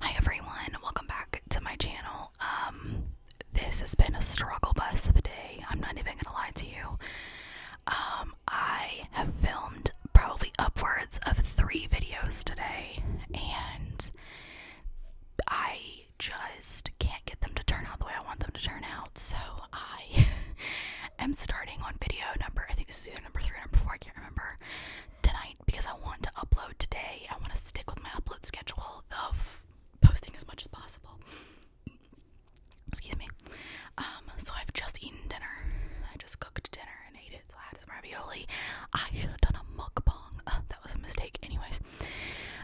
Hi everyone, welcome back to my channel. Um, this has been a struggle bus of a day. I'm not even gonna lie to you. Um, I have filmed probably upwards of three videos today, and I just can't get them to turn out the way I want them to turn out. So I am starting on video number. I think this is either number three or number four. I can't remember tonight because I want to upload today. I want to stick with my upload schedule of posting as much as possible. Excuse me. Um, so I've just eaten dinner. I just cooked dinner and ate it. So I had some ravioli. I should have done a mukbang. Uh, that was a mistake. Anyways,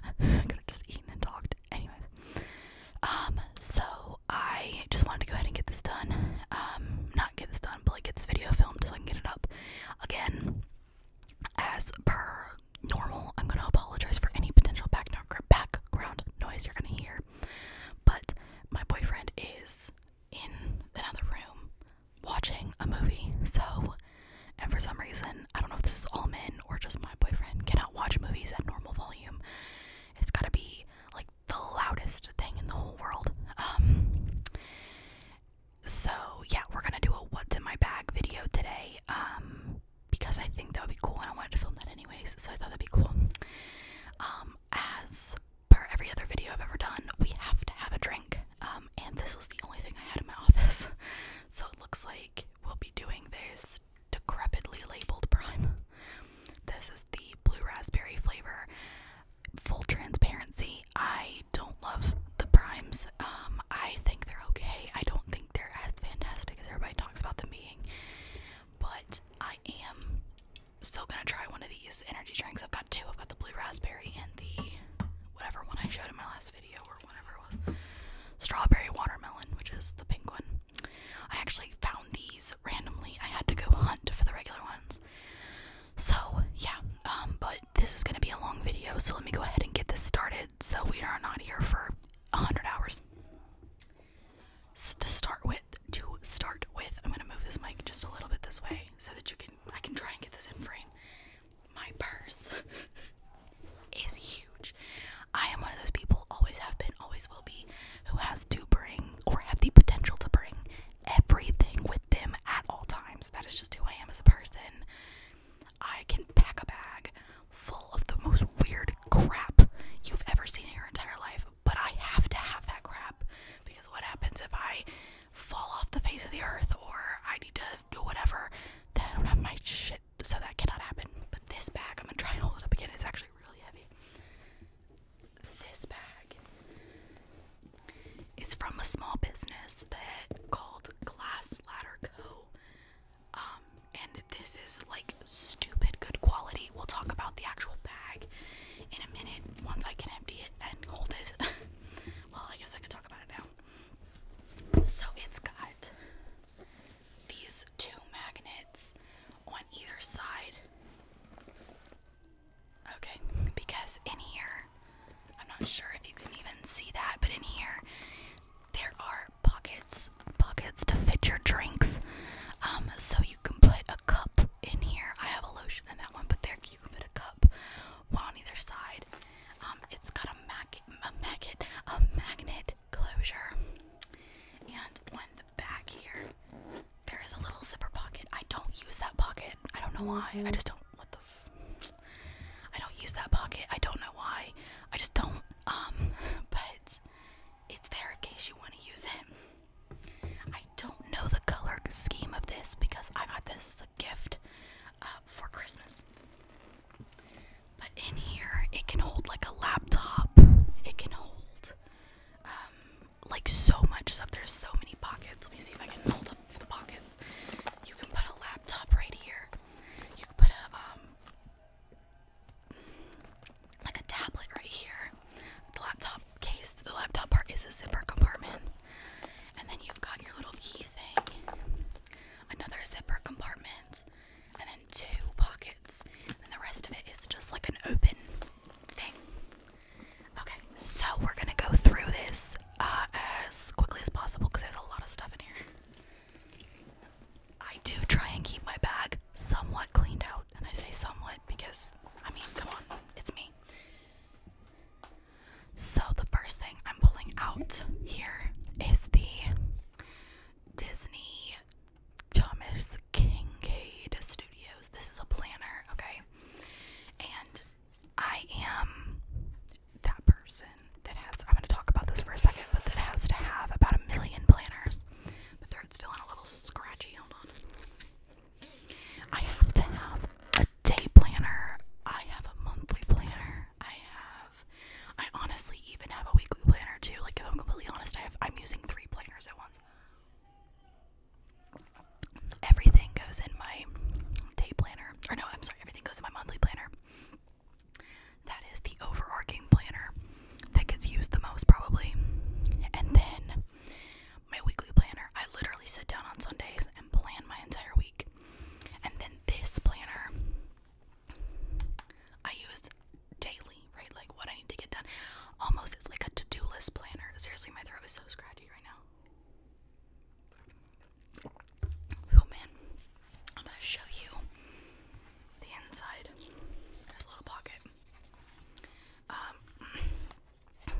I could have just eaten and talked. Anyways, um, so I just wanted to go ahead and get this done. Um, not get this done, but like get this video filmed so I can get it up. Again, as per normal, I'm gonna apologize for any potential background noise you're gonna hear. But my boyfriend is in another room watching a movie, so and for some reason, I don't know if this is all men or just my boyfriend cannot watch movies at normal volume. It's gotta be like the loudest thing in the whole world. Um, so yeah, we're gonna do a what's in my bag video today. Um, because I think that would be cool and I wanted to film that anyways, so I thought that'd be cool. Um, as per every other video I've ever done, we have to have a drink. Um, and this was the only thing I had in my office. So it looks like we'll be doing this decrepitly labeled prime. This is the blue raspberry flavor full transparency, I don't love the primes. Um, I think they're okay. I don't think they're as fantastic as everybody talks about them being. But I am still gonna try one of these energy drinks. I've got two. I've got the blue raspberry and the whatever one I showed in my last video or whatever it was. Strawberry watermelon, which is the pink one. I actually found these randomly. I had to go hunt for the regular ones. So yeah, um, but this is gonna be a long video, so let me go ahead and get this started. So we are not here for hundred hours. to start with, to start with, I'm gonna move this mic just a little bit this way so that you can I can try and get this in frame. My purse is huge. I am one of those people, always have been, always will be, who has to bring or have the potential to bring everything with them at all times. That is just who I am as a person. I can pack a bag full of the most weird crap you've ever seen in your entire life, but I have to have that crap because what happens if I fall off the face of the earth or I need to do whatever? Then I don't have my shit, so that cannot happen. But this bag, I'm gonna try and hold it up again. It's actually really heavy this bag is from a small business that called Glass Ladder Co. Um, and this is like stupid good quality. We'll talk about the actual bag in a minute once I can empty it and hold it. well, I guess I could talk about it now. So it's got these two magnets on either side Okay, because in here, I'm not sure if you can even see that, but in here, there are pockets, pockets to fit your drinks. Um, so you can put a cup in here. I have a lotion in that one, but there you can put a cup, one on either side. Um, it's got a magnet, a magnet, a magnet closure, and on the back here, there is a little zipper pocket. I don't use that pocket. I don't know why. I mm-hmm. just don't. What the? F I don't use that pocket. I don't know why. I just don't. Um, but it's there in case you want to use it. I don't know the color scheme of this because I got this as a gift uh, for Christmas. But in here, it can hold like a laptop. It can hold um, like so much stuff. There's so many pockets. Let me see if I can hold up the pockets. You can put a laptop right here. You can put a um like a tablet right here. The laptop case, the laptop part is a zipper compartment. And then you've got your little key thing. Another zipper compartment. And then two pockets. And the rest of it is just like an open thing. Okay, so we're gonna go through this uh, as quickly as possible because there's a lot of stuff in here. I do try and keep my bag somewhat cleaned out, and I say somewhat because I mean, come on, it's me. So, the first thing I'm pulling out here is the Disney Thomas Kincaid Studios. This is a planner, okay? okay? And I am that person that has, I'm going to talk about this for a second, but that has to have about a million planners. My throat's feeling a little scratchy. Hold on. I have to have a day planner. I have a monthly planner. I have, I honestly even have a weekly planner too. Like, if I'm completely honest, I have, I'm using three planners at once everything goes in my day planner. Or no, I'm sorry, everything goes in my monthly planner. That is the overarching planner that gets used the most probably. And then my weekly planner, I literally sit down on Sundays and plan my entire week. And then this planner I use daily, right? Like what I need to get done. Almost it's like a to-do list planner. Seriously, my throat is so scratchy. Oh man, I'm gonna show you the inside. This little pocket. Um, let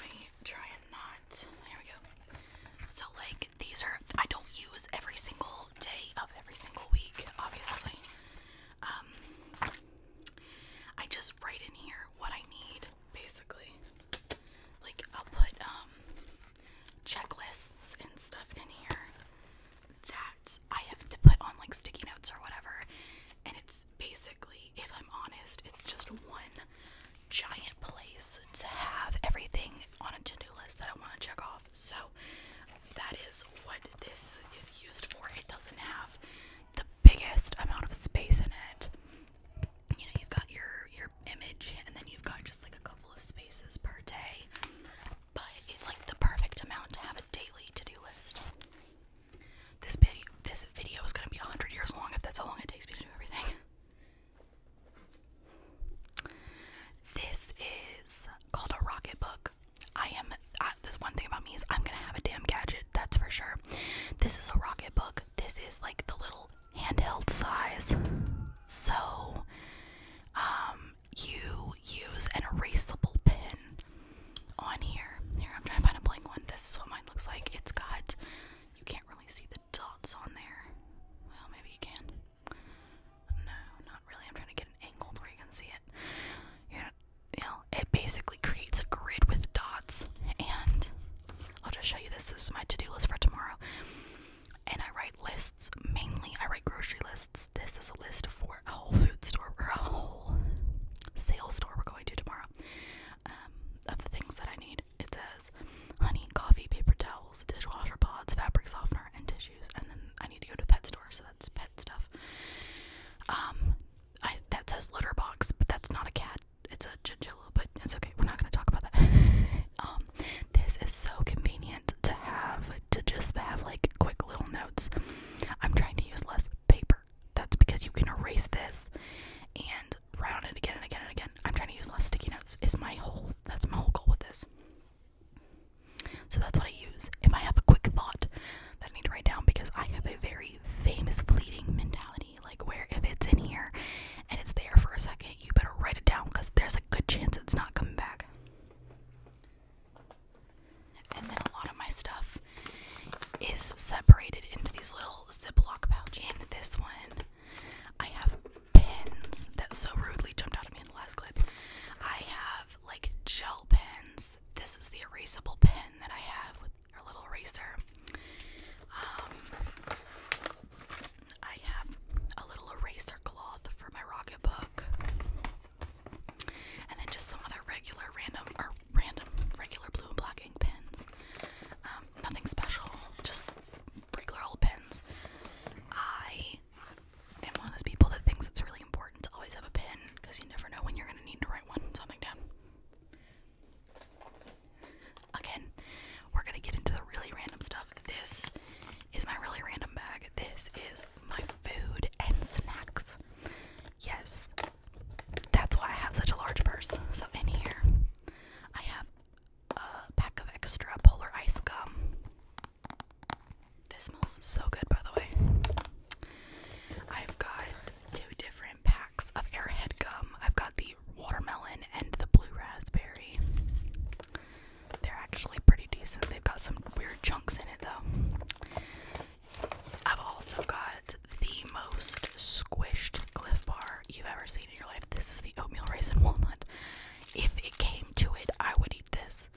me try and not. There we go. So like these are. I don't use every single day of every single week, obviously. Um, I just write in here what I need, basically. Like, I'll put um, checklists and stuff in here that I have to put on like sticky notes or whatever. And it's basically, if I'm honest, it's just one giant place to have everything on a to do list that I want to check off. So that is what this is used for. It doesn't have the biggest amount of space in it. You know, you've got your your image and then you've got just like a couple of spaces per day. But it's like the perfect amount to have a daily to-do list. This video this video is gonna be a hundred years long if that's how long it takes me to do everything. This is called a rocket book. I am. this one thing about me is I'm gonna have a damn gadget. That's for sure. This is a rocket book. This is like the little handheld size. So, um, you use an erasable pen on here. Here, I'm trying to find a blank one. This is what mine looks like. It's got. You can't really see the dots on there. Well, maybe you can. No, not really. I'm trying to get an angle where you can see it. You you know, it basically creates a grid with dots. And I'll just show you this. This is my to-do list for tomorrow. And I write lists mainly. I write grocery lists. This is a list for a whole food store or a whole sales store we're going to tomorrow. Um, of the things that I need. It says honey, coffee, paper towels, dishwasher pods, fabric softener, and tissues. And then I need to go to the pet store, so that's stuff. Um, that says litter box, but that's not a cat. It's a chinchilla, but that's okay. We're not gonna talk about that. um, this is so convenient to have to just have like quick little notes. I'm trying to use less paper. That's because you can erase this and write on it again and again and again. I'm trying to use less sticky notes. Is my whole that's my whole goal with this. So that's what I use if I have a quick thought that I need to write down because I have a very famous fleeting mentality, like where if it's in here and it's there for a second, you better write it down because there's a good chance it's not coming back. And then a lot of my stuff is separated into these little Ziploc pouches. And this one, I have pins that so rudely jumped out of me in the last clip. I have like gel pens. This is the erasable pen that I have with her little eraser. Um, I have a little eraser cloth for my rocket book, and then just some other regular random or random regular blue and black ink pens. Um, nothing special, just regular old pens. I I'm one of those people that thinks it's really important to always have a pen because you never know when you're going to need to write one something down. Again, we're going to get into the really random stuff. This is my really random bag. This is my food and snacks. Yes, that's why I have such a large purse. So, in here, I have a pack of extra polar ice gum. This smells so good, by the way. I've got two different packs of Airhead gum. I've got the watermelon and the blue raspberry. They're actually pretty decent. They've got some weird chunks in it, though. I've also got the most squished Cliff Bar you've ever seen in your life. This is the oatmeal raisin walnut. If it came to it, I would eat this.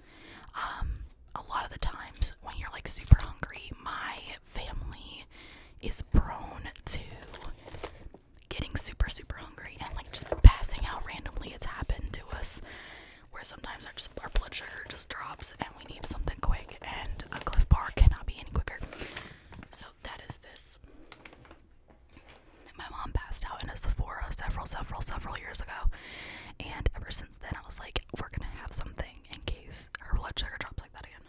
Um, a lot of the times when you're like super hungry, my family is prone to getting super, super hungry and like just passing out randomly. It's happened to us where sometimes our, just, our blood sugar just drops and we need something quick, and a Cliff Bar cannot be any quicker. So that is this. My mom passed out in a Sephora several, several, several years ago, and ever since then I was like, we're gonna have something in case her blood sugar drops like that again.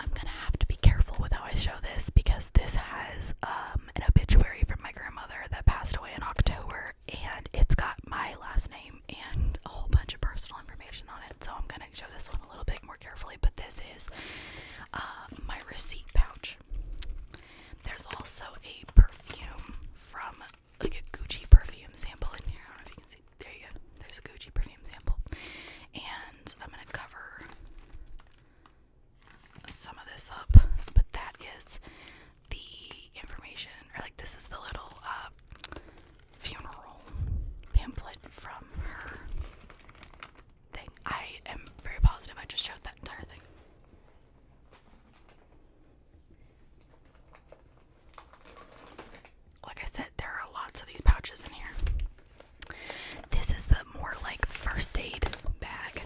I'm gonna have to be careful with how I show this because this has um, an obituary from my grandmother that passed away in October and it's got my last name and a whole bunch of personal information on it. So I'm gonna show this one a little bit more carefully. But this is uh, my receipt pouch. There's also a perfume from like a Gucci perfume sample in here. I don't know if you can see. There you go. There's a Gucci perfume sample. And I'm going to cover some of this up, but that is the information, or like this is the little uh, funeral pamphlet from her thing. I am very positive I just showed that entire thing. Like I said, there are lots of these pouches in here. This is the more like first aid bag.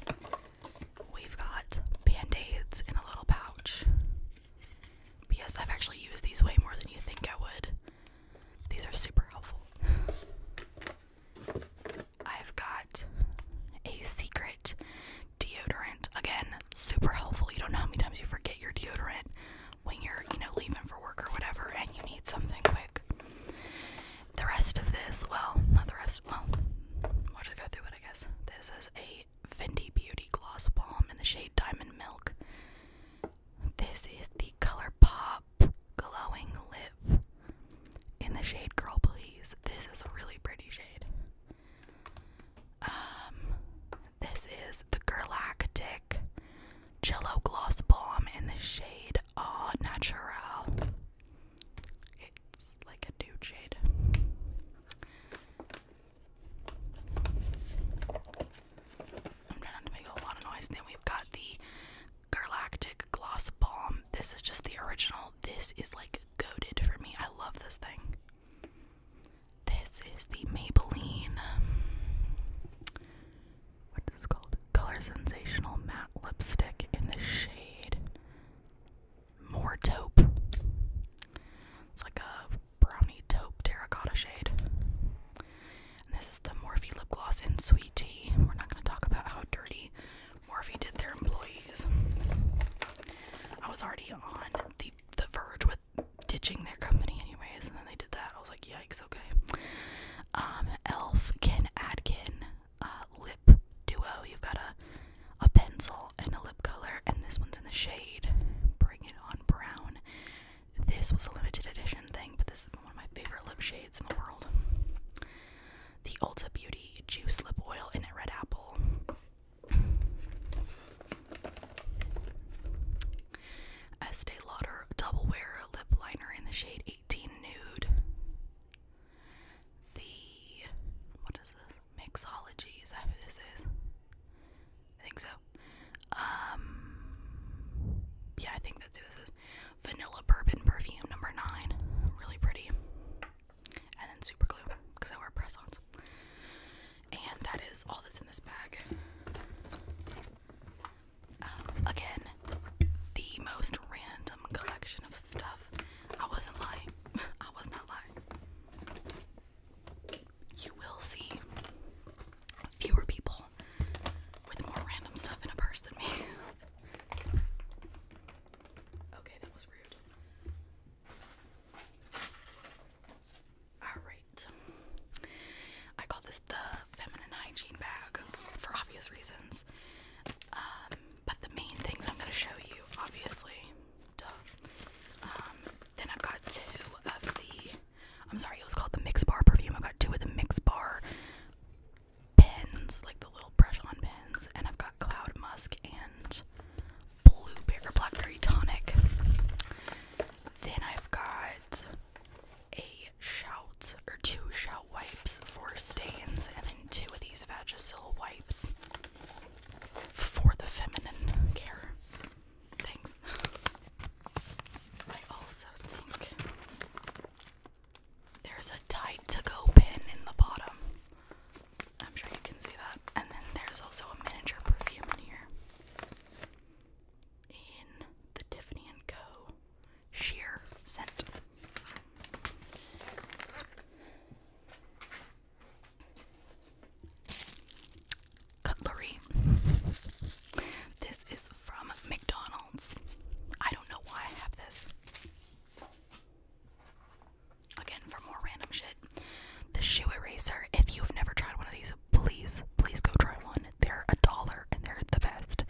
We've got band aids in a little pouch. Because I've actually used these way more than you think I would. These are super helpful. I've got a secret deodorant. Again, super helpful. You don't know how many times you forget your deodorant when you're, you know, leaving for work or whatever and you need something quick. The rest of this, well, not the rest, well, we'll just go through it, I guess. This is a Fenty Beauty Gloss Balm in the shade Diamond Milk. This is the Color Pop glowing lip in the shade Girl Please. This is a really pretty shade. Um, this is the Galactic Jello Gloss Bomb in the shade Au Naturel. It's like a nude shade. I'm trying not to make a lot of noise. Then we've got the Galactic Gloss Balm. This is just the original. This is like goaded for me. I love this thing. This is the Maybelline. What is this called? Color Sensational Matte Lipstick in the shade More Taupe. It's like a brownie taupe terracotta shade. this is the Morphe Lip Gloss in Sweet Tea. We're not going to talk about how dirty Morphy did their employees. I was already on the the verge with ditching their company anyways, and then they did that. I was like, yikes, okay. Um, Elf, Kin Adkin, uh, lip duo. You've got a a pencil and a lip color, and this one's in the shade. Bring it on brown. This was a limited edition thing, but this is one of my favorite lip shades in the world the Ulta Beauty Juice Lip Oil in a Red Apple. Estee Lauder Double Wear Lip Liner in the shade 18 Nude. The, what is this? Mixology, is that who this is? I think so. Um, yeah, I think that's who this is vanilla bourbon perfume number nine. Really pretty. And then super glue because I wear press ons. And that is all that's in this bag. Um, again, the most random collection of stuff. I wasn't lying. I was not lying. You will see fewer people with more random stuff in a purse than me. Okay, that was rude. Alright. I call this the feminine hygiene bag for obvious reasons. Um, but the main things I'm going to show you, obviously, um, then i got two of the, I'm sorry, it was called the Mix Bar perfume. I got two of the Mix Bar pens, like the little brush-on pens, and I've got cloud musk and blueberry blackberry tonic. Then I've got a shout or two shout wipes for stains, and then two of these Vagisil wipes for the feminine care things. I also think there's a tight to Go pin in the bottom. I'm sure you can see that. And then there's also a miniature perfume in here. In the Tiffany & Co. Sheer Scent. Cutlery. This is from McDonald's. I don't know why I have this. Again, for more random shit, the shoe eraser. If you've never tried one of these, please, please go try one. They're a dollar and they're the best.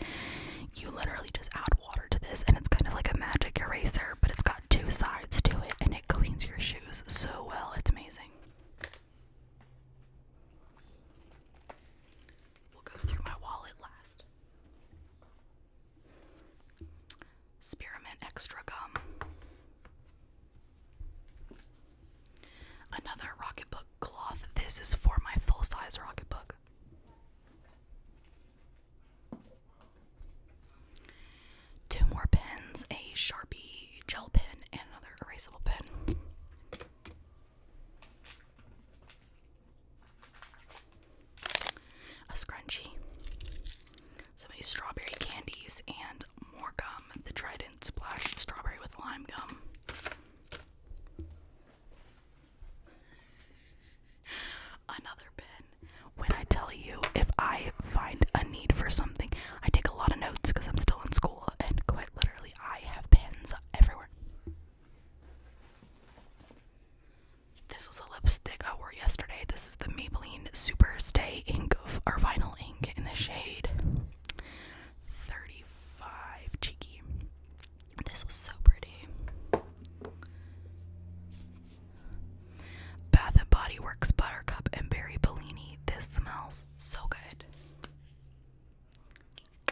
You literally just add water to this, and it's kind of like a magic eraser, but it's got two sides to it, and it cleans your shoes so well. It's amazing. We'll go through my wallet last. Spearmint extra gum. Another Rocketbook cloth. This is for my full size Rocketbook. Two more pens a Sharpie gel pen and another erasable pen a scrunchie, some of these strawberry candies, and more gum, the Trident Splash Strawberry with Lime Gum. Another pen. When I tell you, if I find a need for something, I take a lot of notes because I'm still in school, and quite literally, I have pens everywhere. This was a lipstick I wore yesterday. This is the Maybelline Super Stay ink of our vinyl ink in the shade 35 Cheeky. This was so pretty. Bath and Body Works Buttercup and Berry Bellini. This smells so good.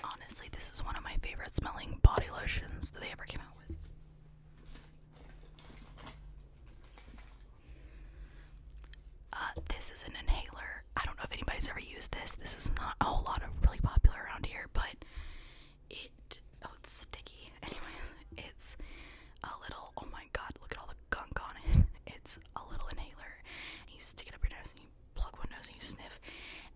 Honestly, this is one of my favorite smelling body lotions that they ever came out with. Uh, this is an inhaler. I don't know if anybody's ever used this. This is not a whole lot of really popular around here, but it oh it's sticky. Anyways, it's a little oh my god, look at all the gunk on it. It's a little inhaler. And you stick it up your nose plug windows and you sniff,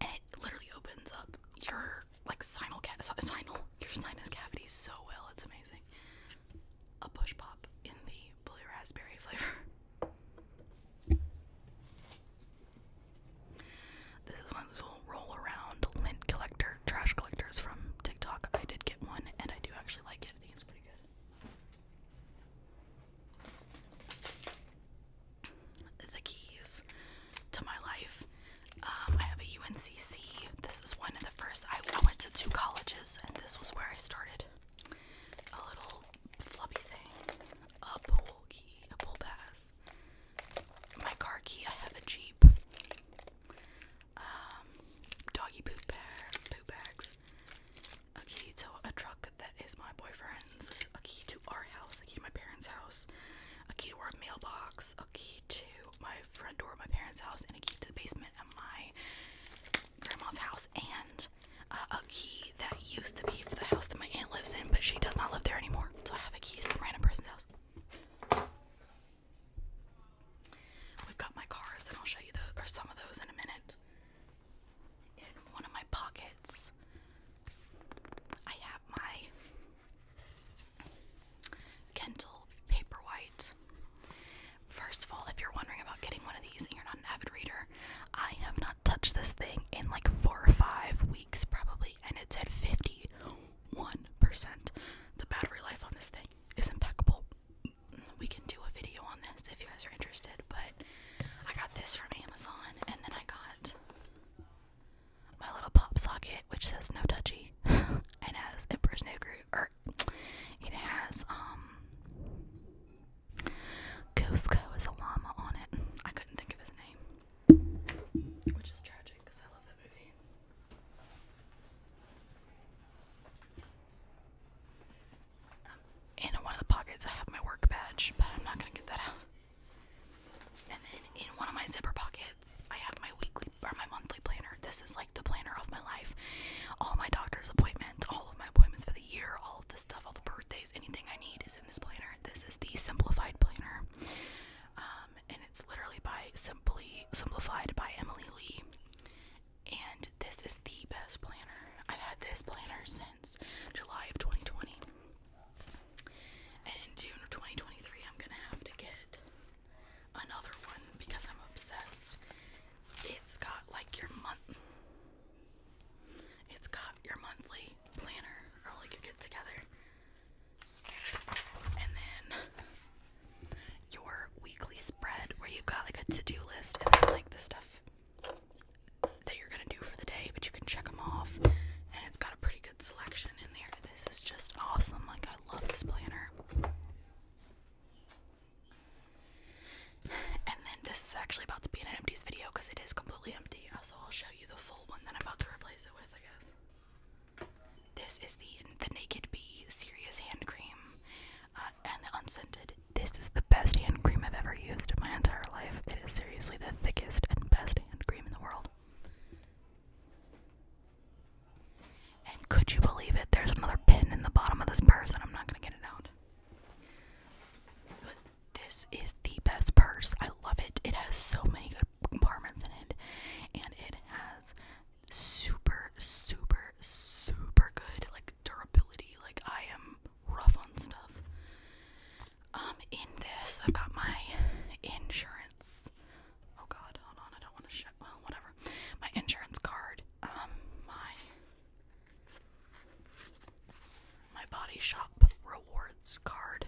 and it literally opens up your like sinus cavity so well. It's amazing. A push pop in the blue raspberry flavor. This is one of those little roll around lint collector trash collectors from TikTok. I did get one, and I do actually like it. I think it's pretty good the keys to my life. Um, I have a UNCC. This is one of the first. I, went to two colleges, and this was where I started. A little floppy thing, a pool key, a pool pass. My car key. I have a Jeep. Um, doggy poop bag, poop bags. A key to a truck that is my boyfriend's, a key to our house, a key to my parents' house, a key to our mailbox, a key to my front door my parents' house, and a key to the basement at my grandma's house, and uh, a key that used to be for the house that my aunt lives in, but she does not live there anymore. So I have a key to some random person's house. We've got my cards, and I'll show you those, or some of those in a minute in one of my pockets. I have my Kindle Paperwhite. First of all, if you're wondering about getting one of these and you're not an avid reader, I have not touched this thing in like four or five weeks probably, and it's at 51%. The battery life on this thing is impeccable. We can do a video on this if you guys are interested, but I got this from Amazon and then I got my little pop socket, which says no touchy, and has Emperor's New Groove, er, it has um, Cusco is a llama on it. I couldn't think of his name, which is tragic because I love that movie. Um, in one of the pockets, I have my work badge, but I'm not gonna get that out. And then in one of my zipper pockets, I have my weekly or my monthly planner. This is like the planner of my life. All my doctor's appointments, all of my appointments for the year, all of the stuff, all the birthdays, anything I need is in this planner. This is the simplified planner. Um, and it's literally by Simply Simplified by Emily Lee. And this is the best planner. I've had this planner since July of 2020. And in June of 2023, I'm gonna have to get another one because I'm obsessed. It's got like your month. It's got your monthly planner or like your get together. And then your weekly spread where you've got like a to-do list and then like the stuff that you're gonna do for the day, but you can check them off, and it's got a pretty good selection in there. This is just awesome. Like I love this planner. And then this is actually about to be an empties video because it is completely empty. So I'll show you the full one that I'm about to replace it with, I guess. This is the the Naked B Serious Hand Cream uh, and unscented. This is the best hand cream I've ever used in my entire life. It is seriously the thickest and best hand cream in the world. And could you believe it? There's another pin in the bottom of this purse, and I'm not gonna get it out. But this is the best purse. I love it. It has so many good compartments in it, and it has super, super, super good like durability. Like I am rough on stuff, um, in this, I've got my insurance. Oh God, hold on, I don't want to whatever. My insurance card. Um, my my body shop rewards card.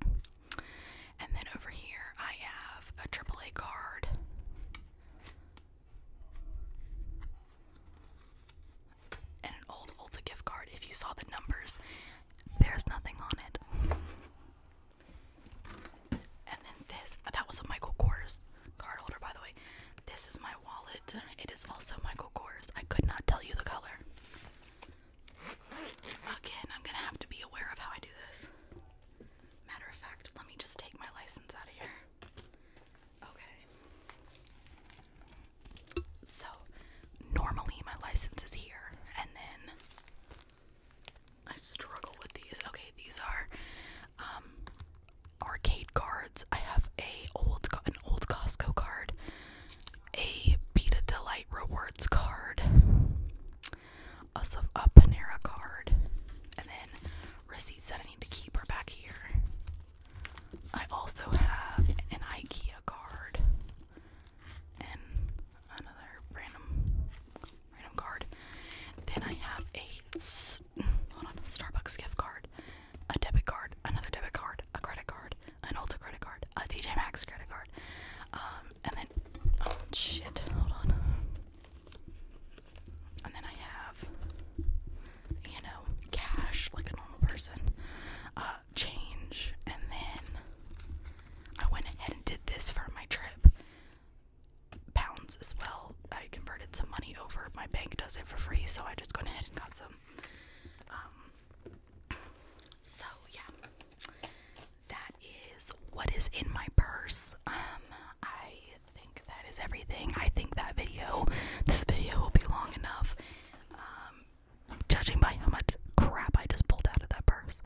And then over here, I have a AAA card and an old Ulta gift card. If you saw the numbers, there's nothing on it. And then this, that was a Michael Kors card holder, by the way. This is my wallet. It is also Michael Kors. I could not tell you the color. Again, I'm gonna have to be aware of how I do this. Matter of fact, let me just take my license out of here. Okay. So normally my license is here and then I struggle with these. Okay, these are um, arcade cards. I have a old an old Costco card, a Pita Delight Rewards card, also a Panera card, and then receipts that I need to keep are back here. I also have an IKEA card and another random random card. Then I have a hold on, Starbucks gift card, a debit card, another debit card, a credit card, an Ulta credit card, a TJ Maxx credit card. Um, and then oh shit, hold on. And then I have you know, cash like a normal person, uh, change, and then I went ahead and did this for my trip. Pounds as well. I converted some money over. My bank does it for free, so I just went ahead and got some. Um, so yeah, that is what is in my purse. Um, I think that is everything. I think that video, this video will be long enough. Um, judging by how much crap I just pulled out of that purse.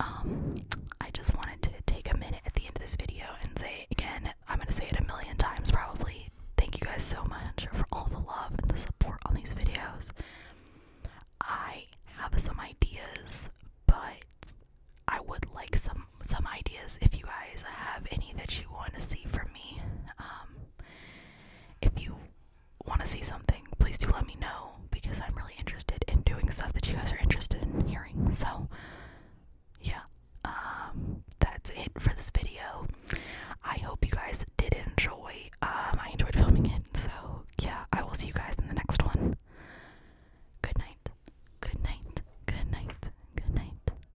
Um, I just wanted to take a minute at the end of this video and say again, I'm gonna say it a million times probably. Thank you guys so much for all the love and the support on these videos. I have some ideas, but I would like some some ideas if you guys have any that you want to see from um, if you want to see something, please do let me know because I'm really interested in doing stuff that you guys are interested in hearing. So, yeah, um, that's it for this video. I hope you guys did enjoy. Um, I enjoyed filming it. So, yeah, I will see you guys in the next one. Good night. Good night. Good night. Good night.